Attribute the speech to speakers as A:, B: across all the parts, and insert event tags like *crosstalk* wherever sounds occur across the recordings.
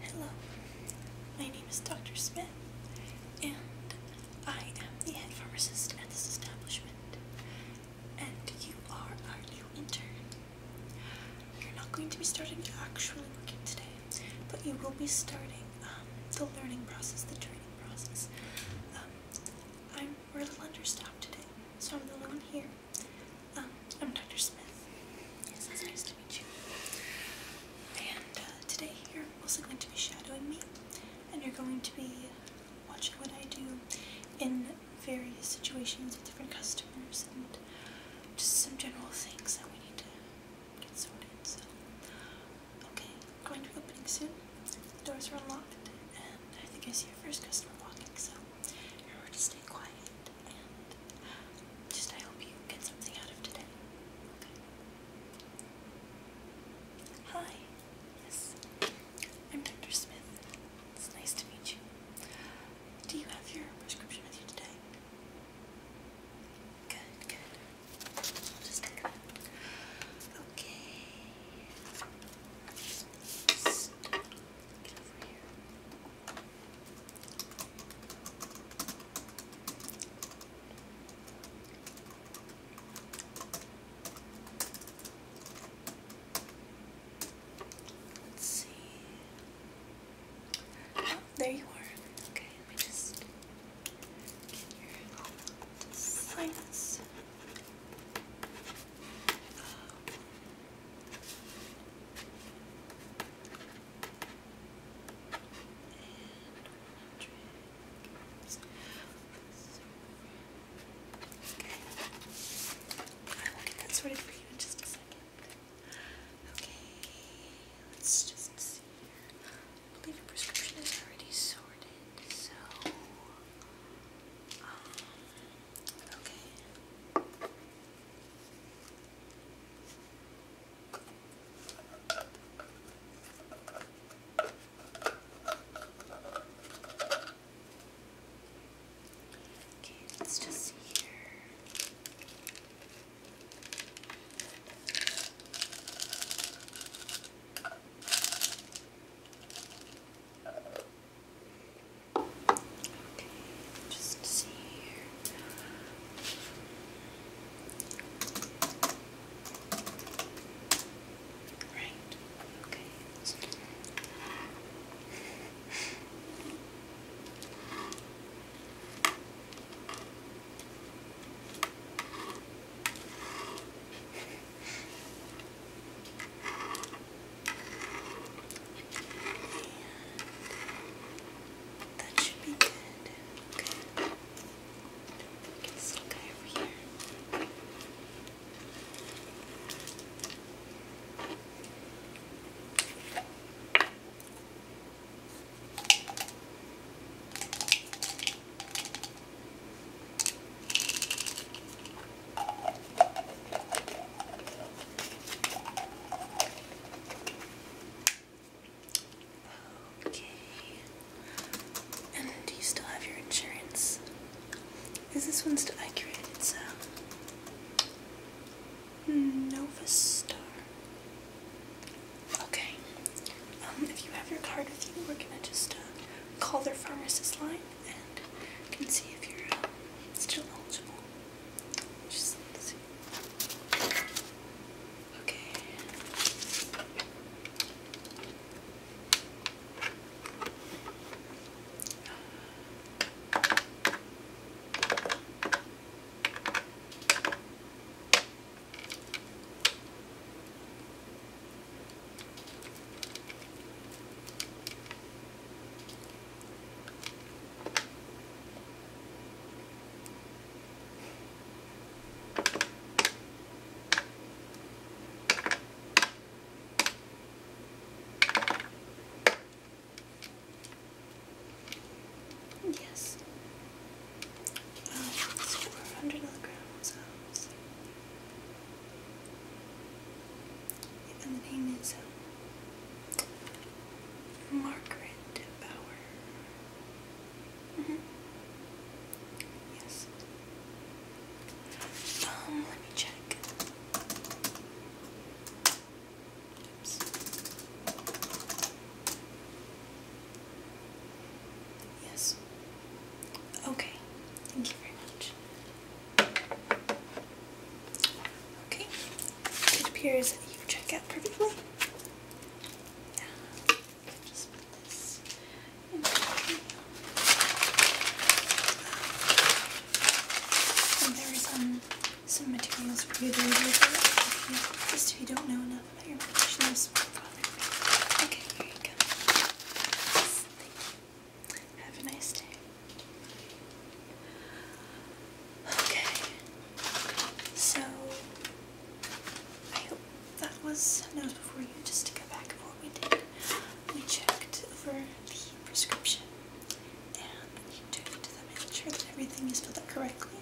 A: Hello, my name is Dr. Smith, and I am the head pharmacist at this establishment. And you are our new intern. You're not going to be starting actually working today, but you will be starting um, the learning process, the training process. Um, I'm a little understaffed today, so I'm the only one here. Um, I'm Dr. Smith. Yes, it's nice to meet you. And uh, today you're also going to be shadowing me, and you're going to be watching what I do in various situations with different customers and just some general things that we need to get sorted. So, okay, going to be opening soon. The doors are unlocked, and I think I see your first customer walking, so you're to stay quiet just I hope you get something out of today. Hi. Yes. I'm Dr. Smith. It's nice to meet you. Do you have your prescription with you today? Good, good. just take that. Okay. Get over here. Let's see. Oh, there you are. Okay, let me just get your sinus. Oh. I will get that sorted for you in just a second. Okay, let's just see I believe your prescription is already sorted, so um, okay. Okay, let's just see here. Okay, just see here. Right. Okay. And that should be good. Okay. Get this little guy over here. Okay. Okay. And do you still have your insurance? Is this one still accurate? It's uh, a Star. Okay. Um, if you have your card with you, we're gonna just uh, call their pharmacist line and can see if you're uh, still eligible. Just let's see. Okay. Yes. Well, it's over 100 milligrams. And um, Margaret Bauer. Mm-hmm. Yes. Um, let me check. Oops. Yes. Okay. Thank you very much. Okay, it appears that you check out perfectly. Yeah. Just put this in here. And there is um, some materials for you to read just if you don't know enough about your medication or father. Okay, here you go. Have a nice day. Okay, so I hope that was that was before you. Just to go back of what we did, we checked over the prescription and we checked to make sure that everything is filled out correctly,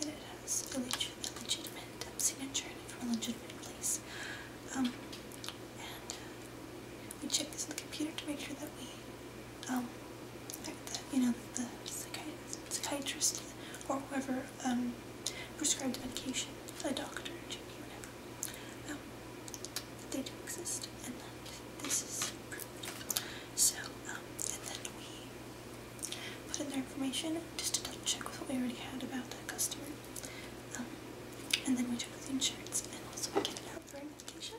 A: that it has a, legitimate um, signature from a legitimate place. Um, and uh, we check this in the computer to make sure that we, um, that, you know, that the psychiatrist or whoever um, prescribed medication, a doctor, GP, whatever, um, that they do exist and that this is approved. So, um, and then we put in their information just to double check with what we already had about that customer. Um, and then we check with the insurance and also we get it out for medication.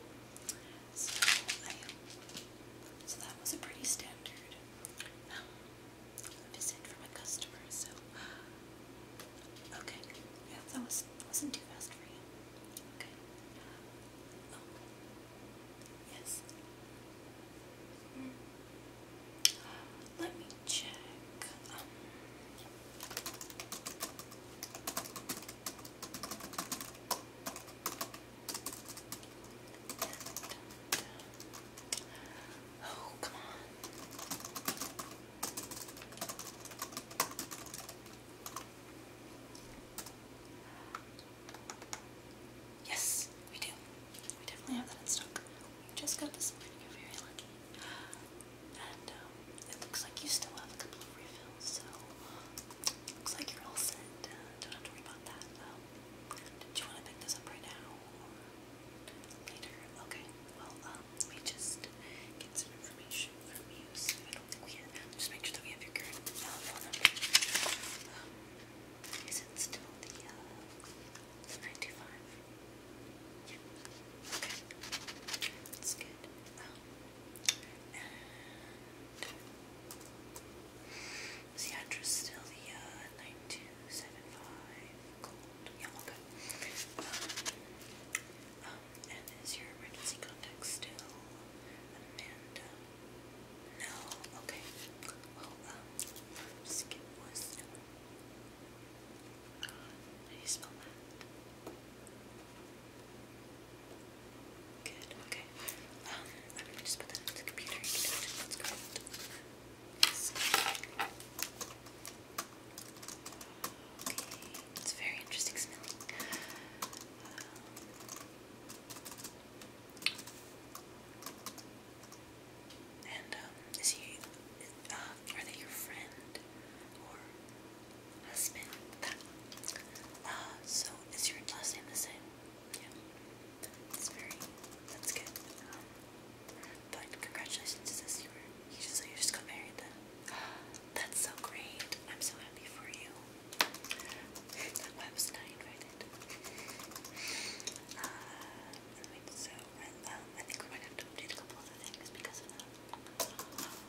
A: So, that was a pretty standard um, visit from a customer. So, okay, yeah, that was wasn't too fast for you. Okay. Oh, yes. Hmm. Let me check. Um, oh, come on. Yes, we do. We definitely have that in stock. We just got this morning. You're very lucky. And um, it looks like you still have a couple of refills, so looks like you're all set. Uh, don't have to worry about that. Um, did you want to pick this up right now or later? Okay. Well, um, let me just get some information from you. So we have. Just make sure that we have your current uh, phone number. Um, is it still the uh, nine two five? Yeah. Okay. That's good. And is the address still the uh, 9275 Gold? Yeah, okay. Um, um, and is your emergency contact still Amanda? No? Okay. Well, um, skip was. How you Good, okay. Um, i just put that into the computer. it's very interesting um, and um, is he? Uh, are they your friend husband. Uh, so is your last name the same? Yeah. That's very, that's good. Um, but congratulations to this, you were, just, so you just got married then. *gasps* That's so great. I'm so happy for you. That web's not invited. Uh, wait, so, um, I think we might have to update a couple other things because of that.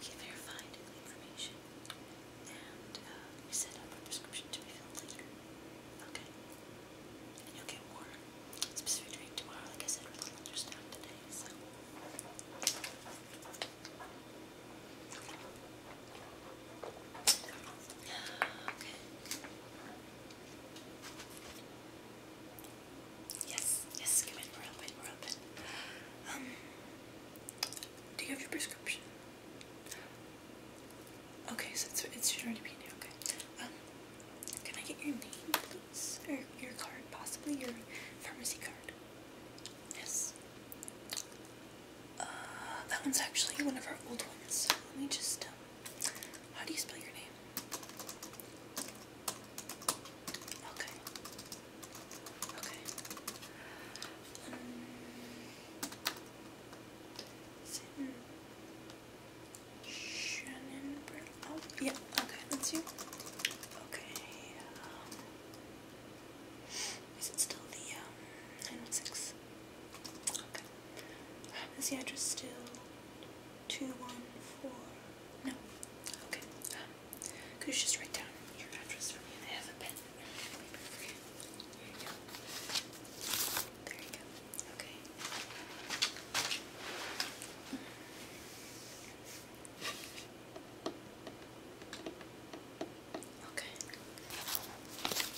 A: He verified the information and we uh, set up a prescription to be filled later. Okay? And you'll get more specific drink tomorrow. Like I said, we're understaffed today, so. Okay. Yes, yes, come in, we're open, we're open. Um, do you have your prescription? Okay, so it's, it should already be okay. Um, can I get your name, please? Or your card, possibly your pharmacy card? Yes. Uh, that one's actually one of our old ones. So Let me just, um, how do you spell your name? Okay. Okay. Shannon Oh, yeah. Okay, that's you. Okay. Um, is it still the um, 916? Okay. Is the address still 214? No? Okay. could um, you just write down your address for me? I have a pen There you go. Okay. Okay.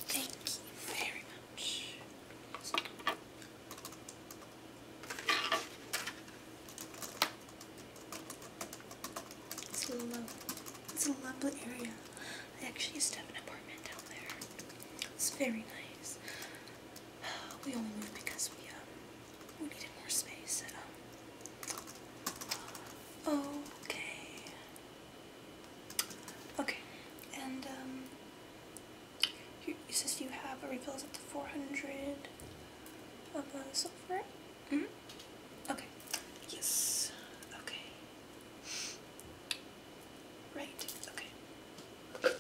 A: Thank you very much. It's a lovely, it's a lovely area. I actually used to have an apartment down there. It's very nice. *sighs* We only moved because we um, we needed more space. Um, uh, okay. Okay, and um, it says you have a refills up to 400 of uh, sulfur? Mm -hmm. Okay. Yes. Okay. Right. Okay. Okay.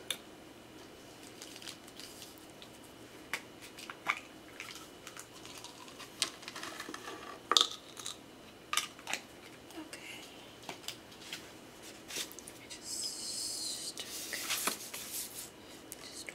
A: Just, okay. just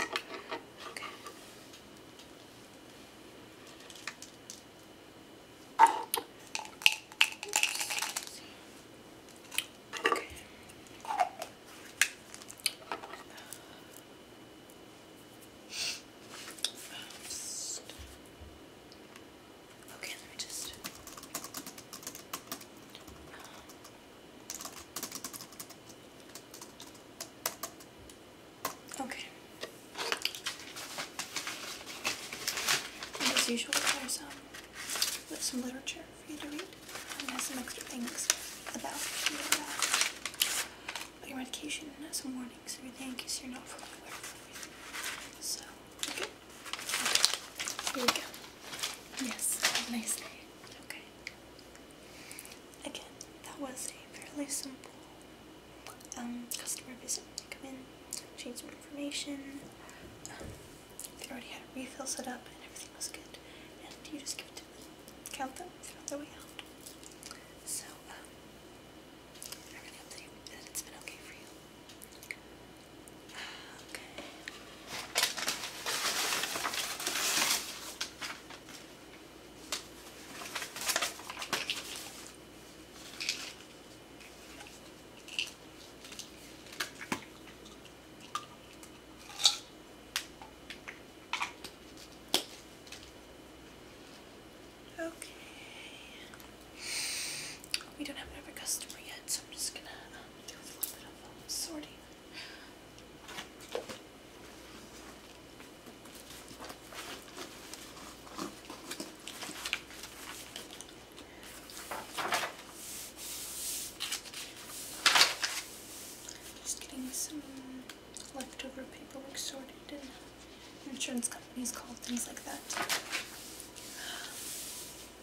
A: Okay. Okay. Oops. Okay, let me just. Um, Okay. as usual, there's um, some literature for you to read, um, and some extra things uh, about your, medication, and some warnings, everything in case you're not fully So, okay. Here we go. Yes, have a nice day. Okay. Again, that was a fairly simple um, customer visit. Come in, change some information. Um, they already had a refill set up and everything was good. And you just give it to them, count them, throw their way So, um, it's been okay for you. Okay. Okay. We don't have another customer yet, so I'm just gonna um, do a little bit of um, sorting. Just getting some leftover paperwork sorted and insurance companies call things like that.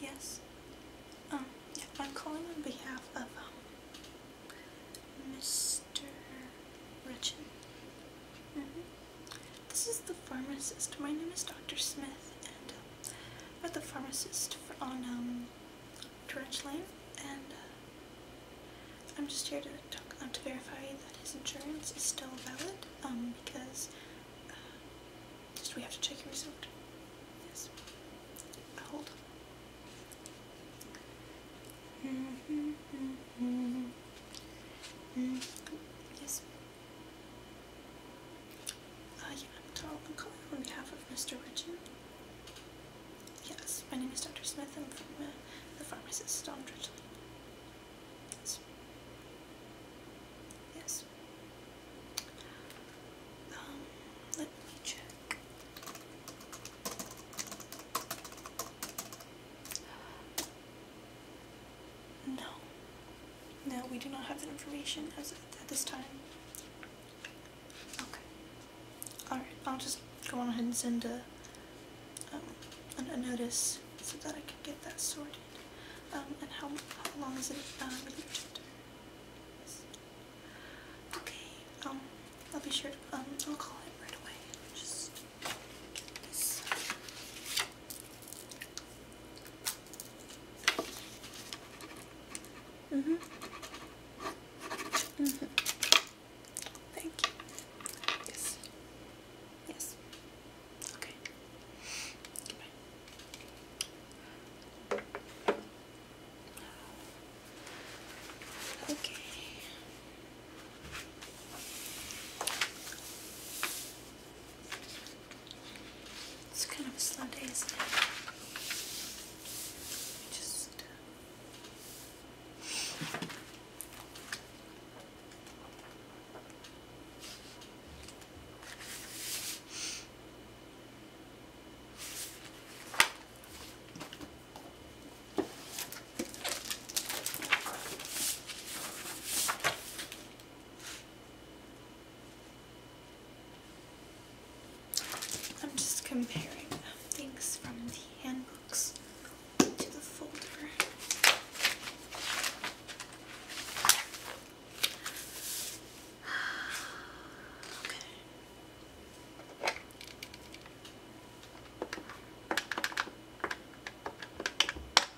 A: Yes. Um, I'm calling on behalf of um, Mr. Richard. -hmm. This is the pharmacist. My name is Dr. Smith, and at the pharmacist on um, Lane, and uh, I'm just here to talk uh, to verify that his insurance is still valid, um, because uh, just we have to check your result. Yes. Hold. Mm -hmm, mm -hmm. -hmm. Yes. Uh, yeah, I'm calling on behalf of Mr. Richard. Yes, my name is Dr. Smith. I'm from uh, the pharmacist, Tom Dridgley. Yes. Yes. Um, let me check. No, no, we do not have that information as at this time. Okay. Alright, I'll just go on ahead and send a, um, a, notice so that I can get that sorted. Um, and how, how long is it uh, um, relieved? Okay, um, I'll be sure to, um, I'll call it right away. Just Mm hmm Mm hmm Thank you. Yes. Yes. Okay. Goodbye. Okay. It's kind of a slow day, isn't it? Just uh, I'm just comparing things from the handbooks to the folder. *sighs* Okay.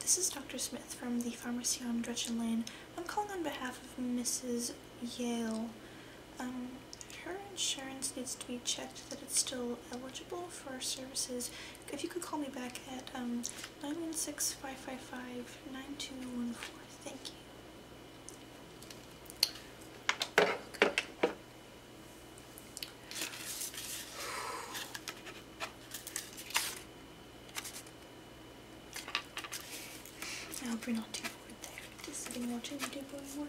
A: This is Dr. Smith from the pharmacy on Gretchen Lane. I'm calling on behalf of Mrs. Yale. Um, her insurance needs to be checked that it's still eligible for services if you could call me back at um, 916 555 9214. Thank you. I hope you're not too bored there. Just sitting watching you do boring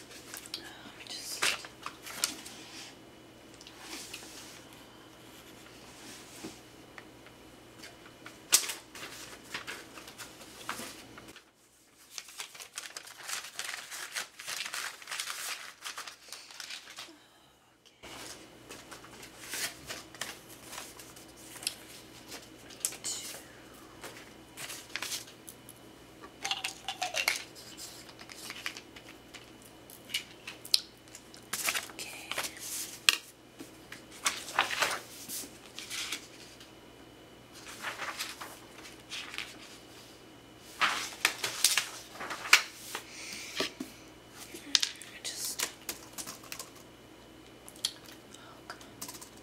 A: Uh, let me just. Okay. Two. Okay. I just. Oh, come on.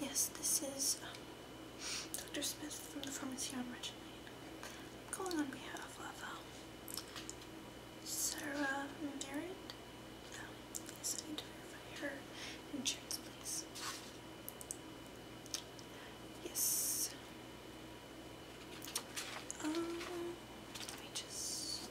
A: Yes, this is um, Dr. Smith from the pharmacy on Regent Lane. calling on behalf of um, Sarah Merritt. Um, yes, her insurance, please. Yes. Um, let me just.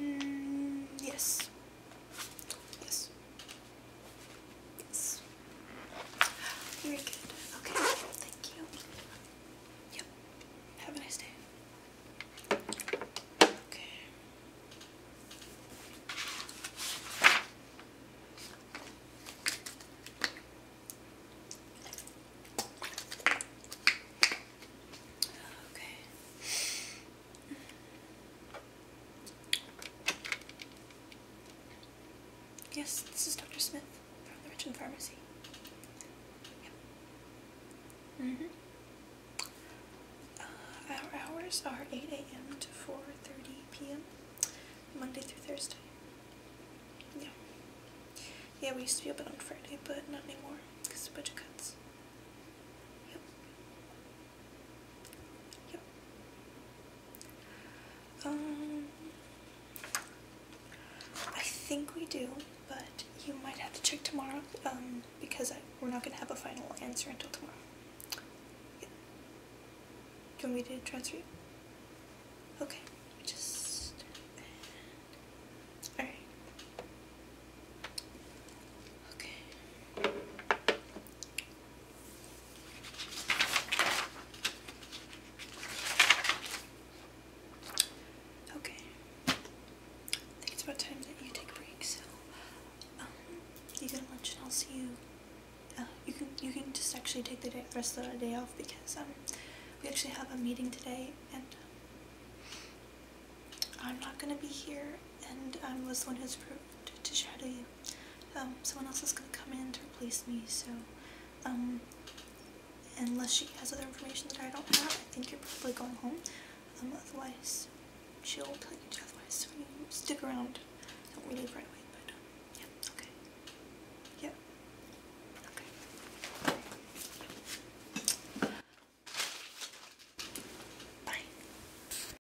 A: Mm, yes. Yes. Very good. Okay, thank you. Yep. Have a nice day. Okay. Okay. Yes, this is Dr. Smith from the Richmond Pharmacy. Yep. Mm hmm our hours are 8 a.m. to 4.30 p.m. Monday through Thursday. Yeah. Yeah, we used to be open on Friday, but not anymore because of budget cuts. Yep. Yep. Um, I think we do, but you might have to check tomorrow um, because we're not going to have a final answer until tomorrow. Yep. Do you want me to transfer you? Okay. Just... Alright. Okay. Okay. I think it's about time that you take a break, so um you get lunch and I'll see you uh, you can you can just actually take the rest of the day off because um we actually have a meeting today and um, I'm not gonna be here and I was the one who's approved to shadow you. Um, someone else is going to come in to replace me, so, um, unless she has other information that I don't have, I think you're probably going home, um, otherwise, she'll tell you to otherwise, so stick around, don't really right away, but, okay, yep, okay, bye.